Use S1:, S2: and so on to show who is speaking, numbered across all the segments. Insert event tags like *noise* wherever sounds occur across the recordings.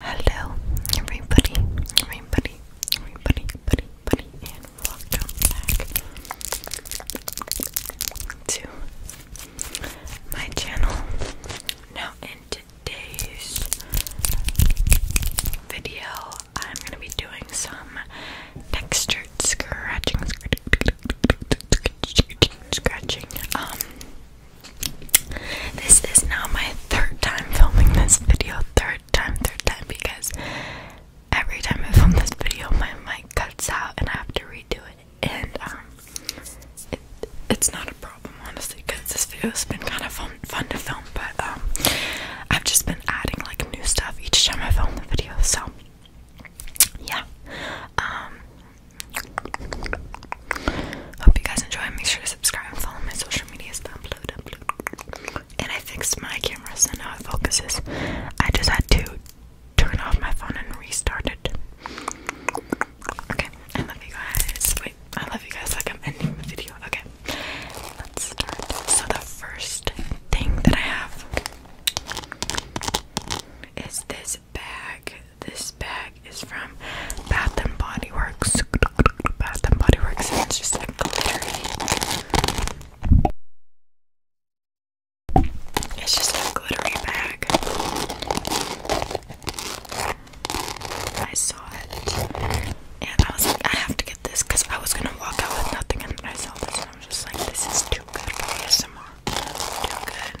S1: Hello, everybody, everybody, everybody, buddy, and welcome back to my channel. Now, in today's video, I'm going to be doing some textured scratching, scratching, scratching, um, this is now my third time filming this video. Third time, third time, because every time I film this video, my mic cuts out and I have to redo it. And um, it, it's not a problem, honestly, because this video has been kind of fun, fun to film. But um, I've just been adding like new stuff each time I film the video. So yeah, um, Hope you guys enjoy. Make sure to subscribe and follow my social medias. Upload, upload. And I fixed my camera so now it focuses. I just had to turn off my phone and restart it. Okay, I love you guys. Wait, I love you guys like I'm ending the video. Okay, let's start. So the first thing that I have is this bag this bag is from Bath and Body Works. Bath and Body Works, it's just a glittery. It's just a glittery bag. I saw it, and I was like, I have to get this because I was gonna walk out with nothing, and I saw this, and I was just like, this is too good for ASMR. Too good.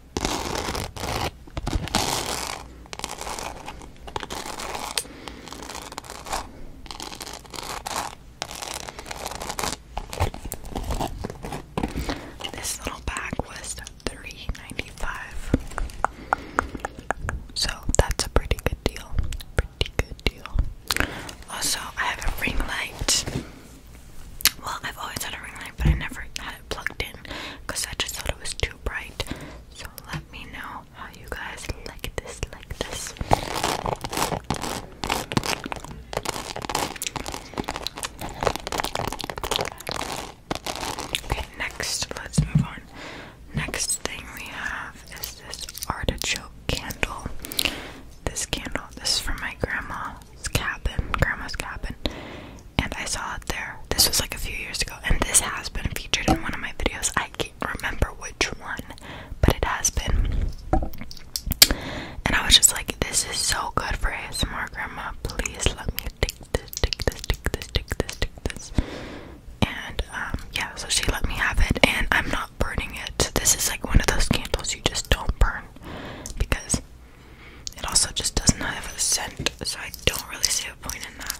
S1: This little bag was three ninety five, dollars So that's a pretty good deal. Pretty good deal. Also, I have a ring light. Well, I've always had a ring light, but I never plugged in because I just thought it was too bright. So let me know how you guys like this, like this. Okay, next, let's move on. Next thing we have is this artichoke candle. This candle, this is from my grandma cabin, grandma's cabin, and I saw it there. This was like a few years ago, and this has been featured in one of my videos. I can't remember which one, but it has been. And I was just like, this is so good for ASMR, grandma. Please let me take this, take this, take this, take this, take this. And um, yeah, so she let me have it, and I'm not burning it. This is like one of those candles you just don't burn because it also just doesn't have a scent, so I don't really see a point in that.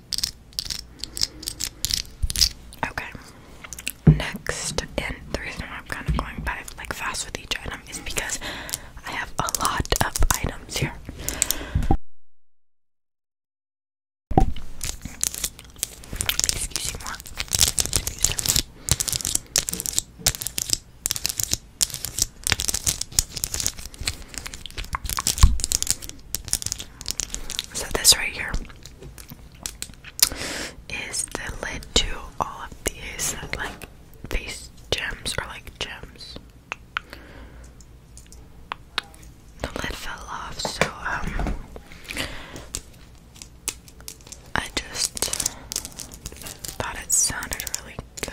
S1: Okay. Next, and the reason why I'm kind of going by like fast with each item is because I have a lot of items here. Excuse me Excuse me. So this right here is the lid to all of these like face gems or like gems. The lid fell off, so um I just thought it sounded really good.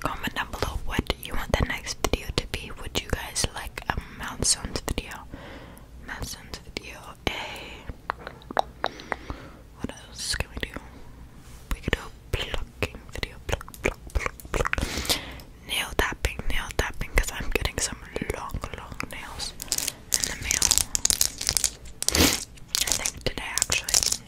S1: Comment down below what you want the next video to be. Would you guys like a mouth sounds video? Mouth sounds video, a what else can we do? We could do plucking video. Pluck, pluck, pluck, pluck. Nail tapping, nail tapping, because I'm getting some long, long nails in the mail. I think today, actually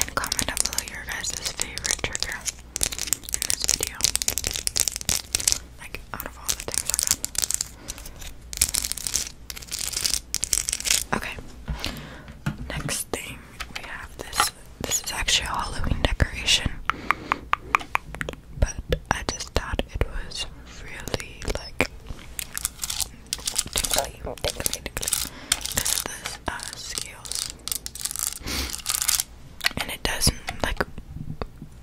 S1: and comment down below your guys' favorite trigger in this video. Like, out of all the things I've Okay. Next thing we have this. This is actually a Halloween decoration. But I just thought it was really like uh, scales, and it doesn't like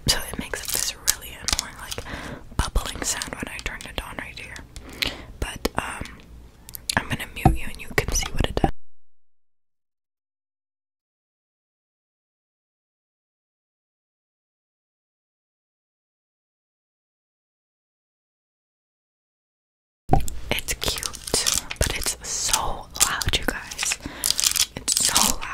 S1: so it makes this really annoying like bubbling sound when I turn it on right here. But um, I'm gonna mute you, and you can see what it does. It's cute, but it's so loud, you guys. It's so loud.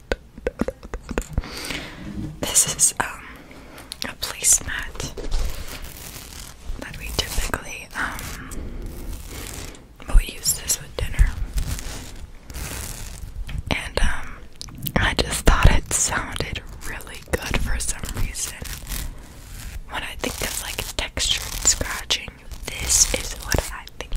S1: This is um a placemat that we typically um we use this with dinner. And um I just thought it sounded really good for some reason. When I think of like textured scratching, this is what I think.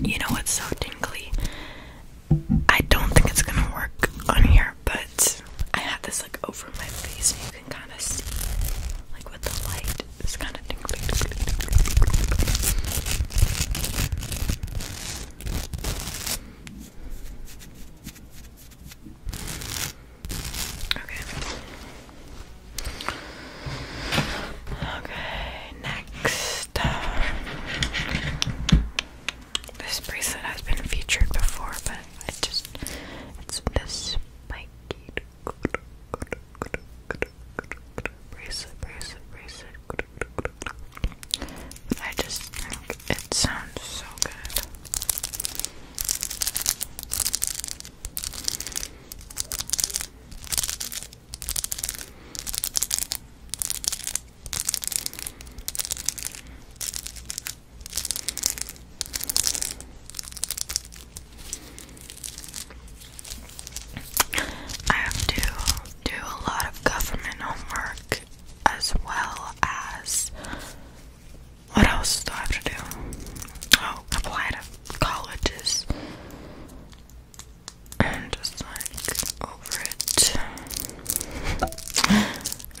S1: You know what's so tingly? I don't think it's gonna work on here, but I had this like over my face, and you can kind of see, like with the light, it's kind of tingly. Okay. Okay, next. Uh, this bracelet has been featured before, but it just it's this like bracelet, I just it sounds so good. I have to do a lot of government homework as well as what else do I have to do? Oh, apply to colleges. And just like over it.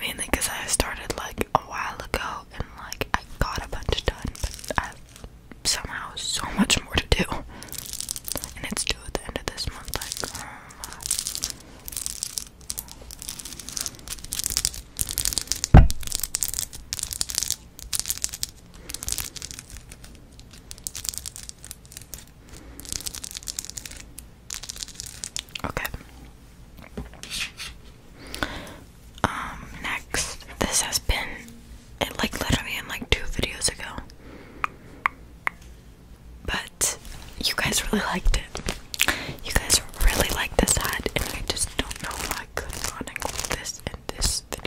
S1: *laughs* Mainly because I started like a while ago and like I got a bunch done, but I somehow so much more to do. And it's due at the end of this month, like oh Okay. Um, next, this has been it like literally in like two videos ago. But you guys really liked it. You guys really like this hat, and I just don't know why I could not include this in this video.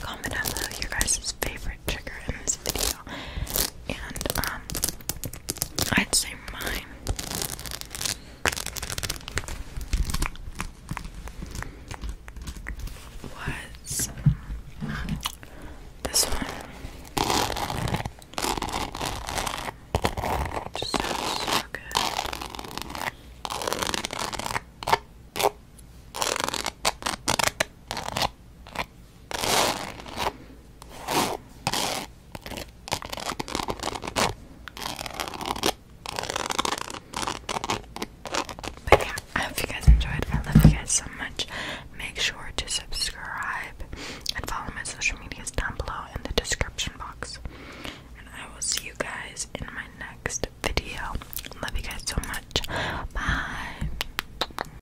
S1: Comment down below your guys' favorite trigger in this video and um I'd say mine was this one. Just so good. But yeah, I hope you guys enjoyed. I love you guys so much. Make sure to subscribe and follow my social medias down below in the description box. And I will see you guys in my next video. Love you guys so much. Bye.